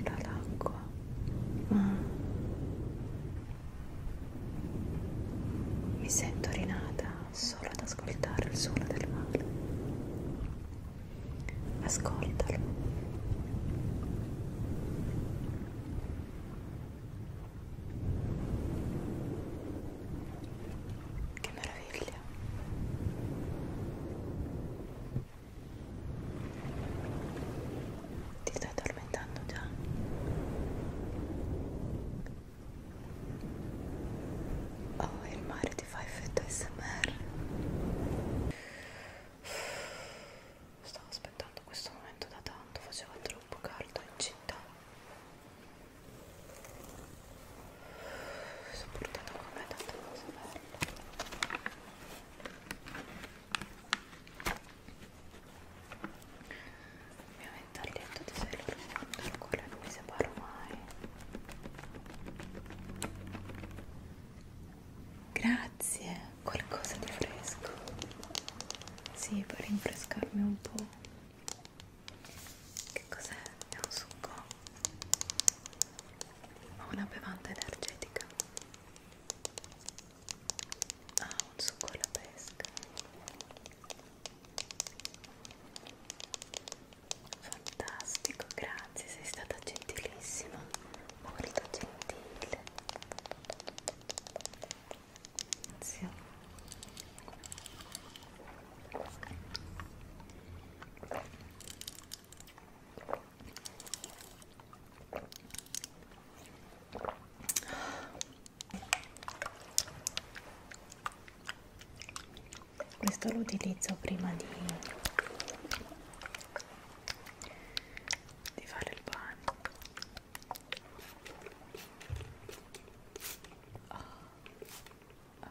dall'acqua ma mi sento rinata solo ad ascoltare il suono del mare ascoltalo che meraviglia ti stai addormentando già? Oh, il mare ti fa effetto SMR. Stavo aspettando questo momento da tanto, faceva troppo caldo in città. Mi sono portata con me tante cose belle il mio ventaglietto di Sailor Moon dal quale non mi separo mai grazie qualcosa di fresco sì per rinfrescarmi un po' che cos'è? è un succo? o una bevanda energetica Ah, un succo alla pesca. Fantastico, grazie, sei stata gentilissima, molto gentile. Grazie questo lo utilizzo prima di, di fare il pane oh. Oh.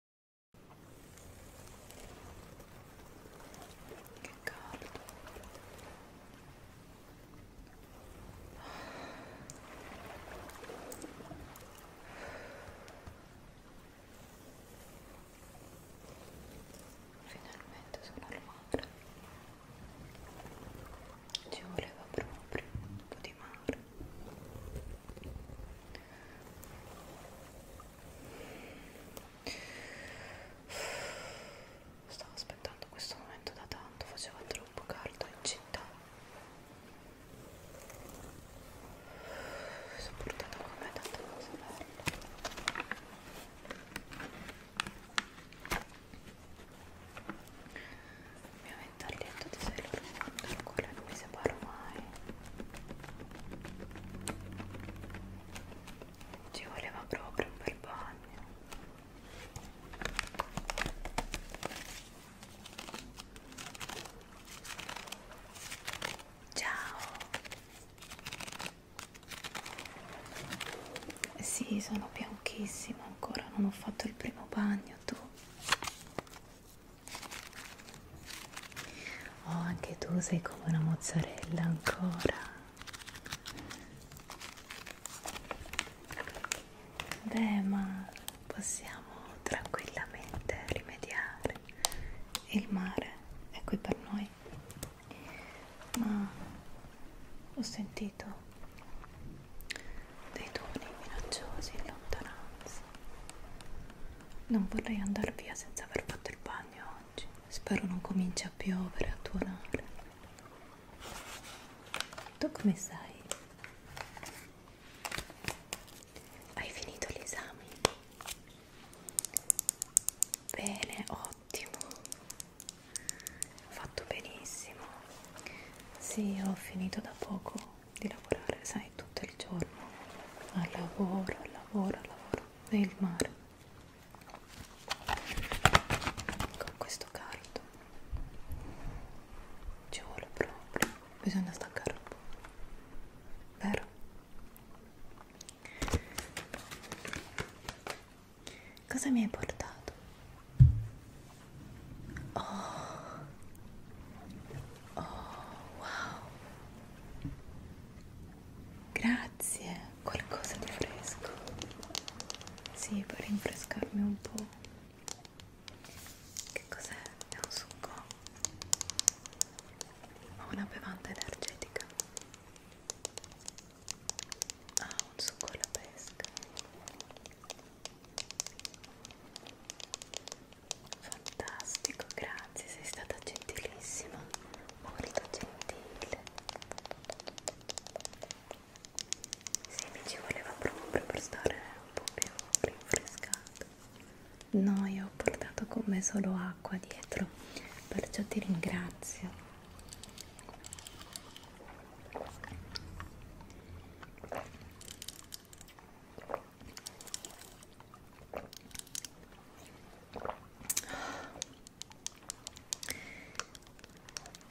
Che caldo. Finalmente sono al mare. Ci voleva proprio un po' di mare. Stavo aspettando questo momento da tanto, faceva troppo caldo in città. Mi sono portata con me tante cose belle. Mi avvento al letto di Sailor Moon dal quale non mi separo mai. Ci voleva proprio un bel bagno. Ciao. Sì, sono bianchissima ancora, non ho fatto il primo bagno tu. Oh, anche tu sei come una mozzarella ancora. Beh, ma possiamo tranquillamente rimediare. Il mare è qui per noi. Ma ho sentito dei tuoni minacciosi in lontananza. Non vorrei andare via senza aver fatto il bagno bagno oggi. Spero non cominci a piovere, a tuonare. Tu come stai? Hai finito gli esami? Bene, ottimo. Ho fatto benissimo. Sì, ho finito da poco di lavorare, sai, tutto il giorno. Al lavoro, al lavoro, al lavoro dentro è il mare con questo caldo ci vuole proprio bisogna staccare un po' vero? cosa mi hai portato? oh, oh wow Grazie, qualcosa di fresco. Sì, per rinfrescarmi un po'. Che cos'è? È un succo? Ho una bevanda energetica. Ah, un succo alla pesca. Fantastico, grazie, sei stata gentilissima, molto gentile. Sì, mi ci voleva proprio per stare un po' più rinfrescato. No, io ho portato con me solo acqua dietro, perciò ti ringrazio.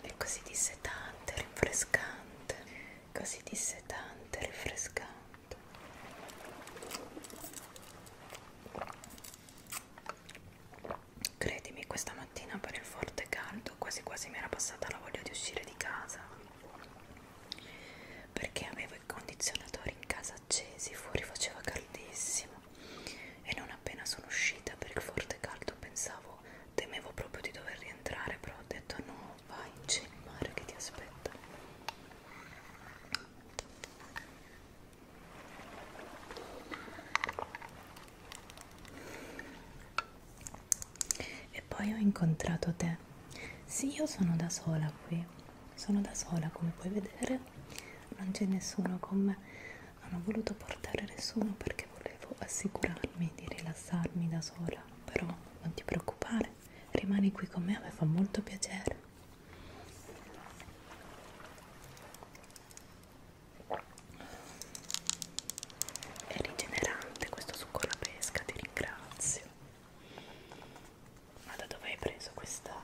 È così dissetante, rinfrescante, così dissetante, rinfrescante. Credimi, questa mattina per il forte caldo quasi quasi mi era passata la voglia di uscire di casa perché avevo i condizionatori in casa accesi, fuori faceva caldissimo e non appena sono uscita per il forte caldo pensavo, temevo proprio di dover rientrare, però ho detto no, vai, c'è il mare che ti aspetta. E poi ho incontrato te. Sì, io sono da sola qui sono da sola come puoi vedere non c'è nessuno con me non ho voluto portare nessuno perché volevo assicurarmi di rilassarmi da sola però non ti preoccupare rimani qui con me mi fa molto piacere è rigenerante questo succo alla pesca ti ringrazio ma da dove hai preso questa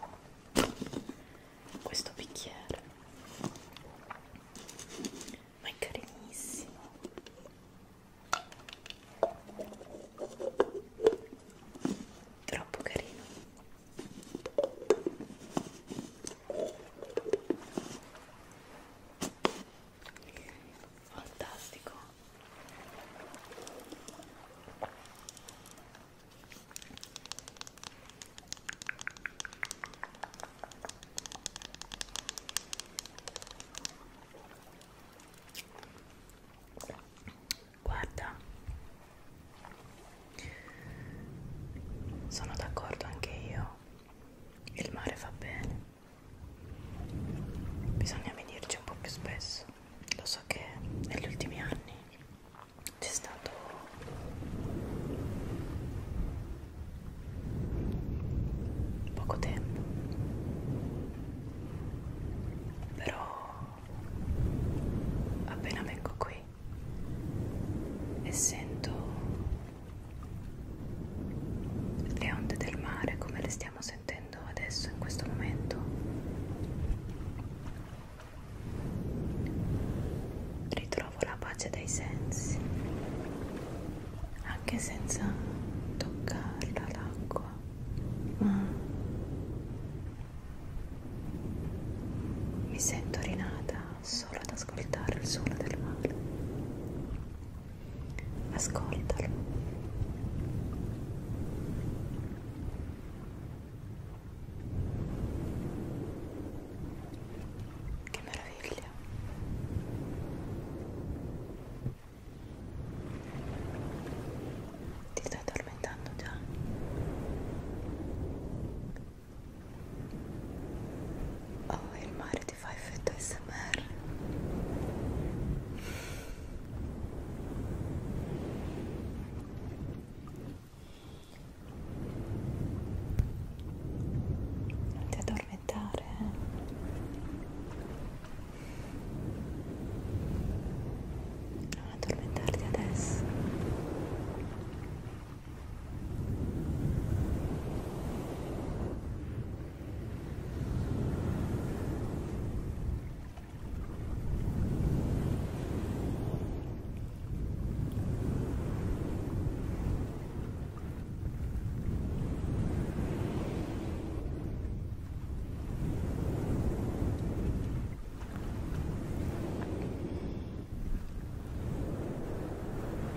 questo bicchiere ma è carinissimo troppo carino fantastico Guarda, sono d'accordo anche io, il mare fa bene, bisogna venirci un po' più spesso lo so che negli ultimi anni c'è stato poco tempo però appena vengo qui e sento le onde del mare come le stiamo sentendo sentendo adesso in questo momento ritrovo la pace dei sensi anche senza toccarla l'acqua ma mi sento rinata solo ad ascoltare il suono del mare ascoltalo che meraviglia. Ti stai addormentando già? Oh, il mare ti fa effetto SMR. Non ti addormentare. Eh. Non addormentarti adesso.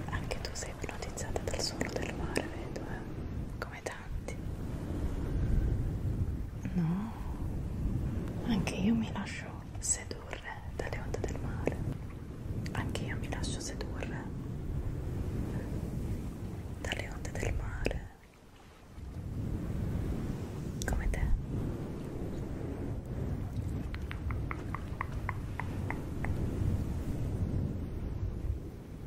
Anche tu sei ipnotizzata dal suono del mare, vedo, eh? Come te toccanti no anche io mi lascio sedurre dalle onde del mare anche io mi lascio sedurre dalle onde del mare come te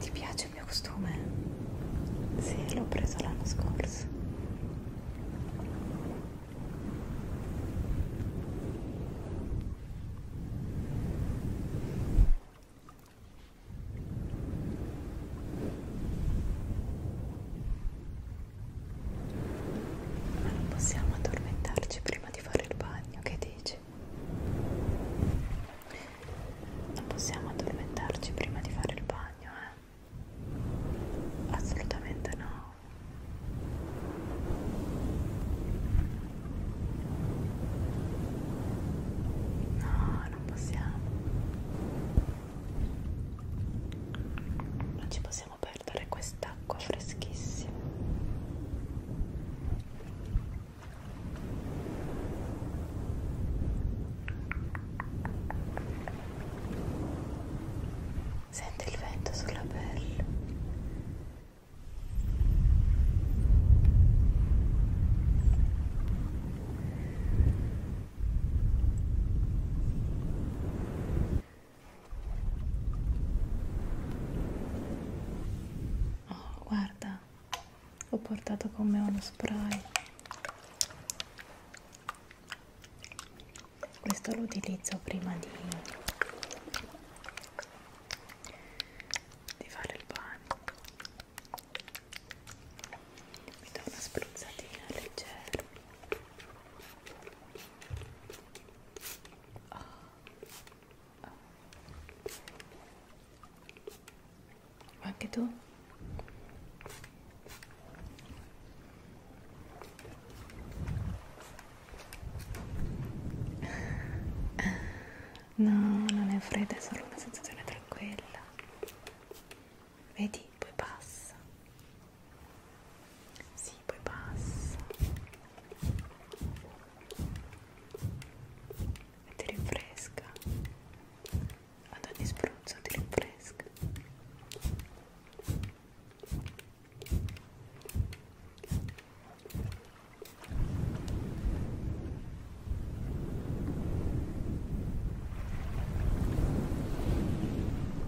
Ti piace il mio costume? Sì, l'ho preso l'anno scorso. Ma non possiamo addormentarci prima di fare il bagno, che dici? Non possiamo addormentarci prima di fare il bagno, eh? Assolutamente no. No, non possiamo. Non ci possiamo possiamo perdere quest'acqua freschissima senti il vento sulla pelle Oh, guarda, ho portato con me uno spray. Questo lo utilizzo prima di, di fare il bagno. Mi do una spruzzatina leggera. Oh. Oh. Anche tu? No, non è fredda, è solo una sensazione tranquilla vedi poi passa sì poi passa e ti rinfresca ad ogni spruzzo ti rinfresca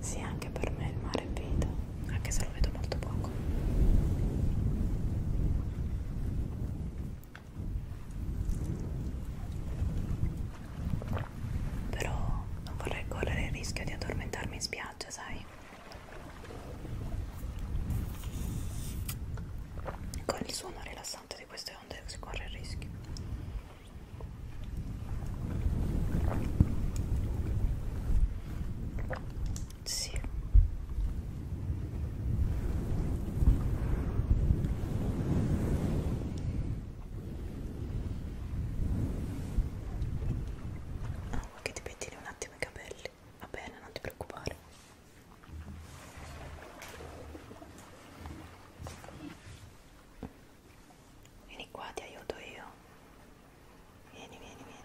Sì, anche per me il mare è vita, anche se lo vedo molto poco. Però non vorrei correre il rischio di addormentarmi in spiaggia, sai? Con il suono rilassante di queste onde si corre il rischio. Sì. Ah, vuoi che ti pettini un attimo i capelli? Va bene, non ti preoccupare. Vieni qua, ti aiuto io. Vieni, vieni, vieni.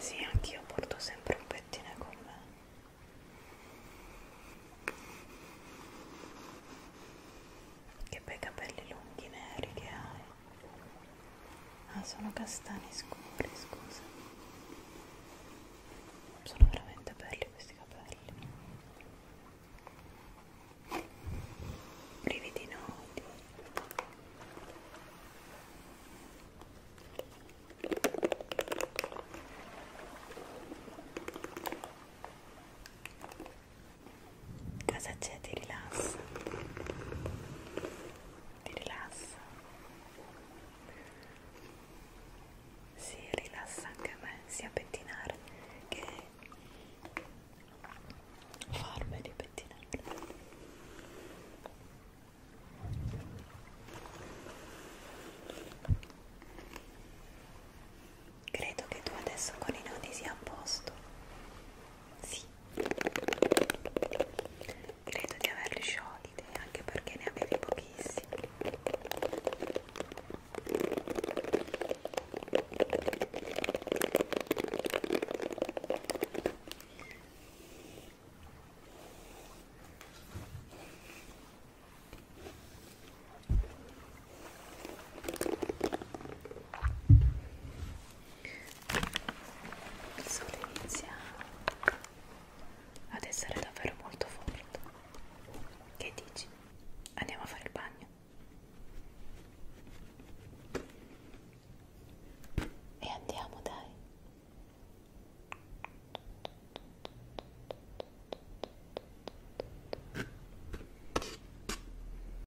Sì, anch'io porto sempre un pettine con me. Che bei capelli lunghi neri che hai. Ah, sono castani scuri, scusa. Sono veramente belli questi capelli. Brividi noti. Cosa c'è? Ti rilassa? Ti rilassa? Si rilassa anche a me, sia pettinare che forme di pettinare. Credo che tu adesso con i nodi sia a posto. Sì, credo di averli sciolti anche perché ne avevi pochissimi il sole inizia ad essere davvero molto forte che dici? andiamo a fare il bagno e andiamo dai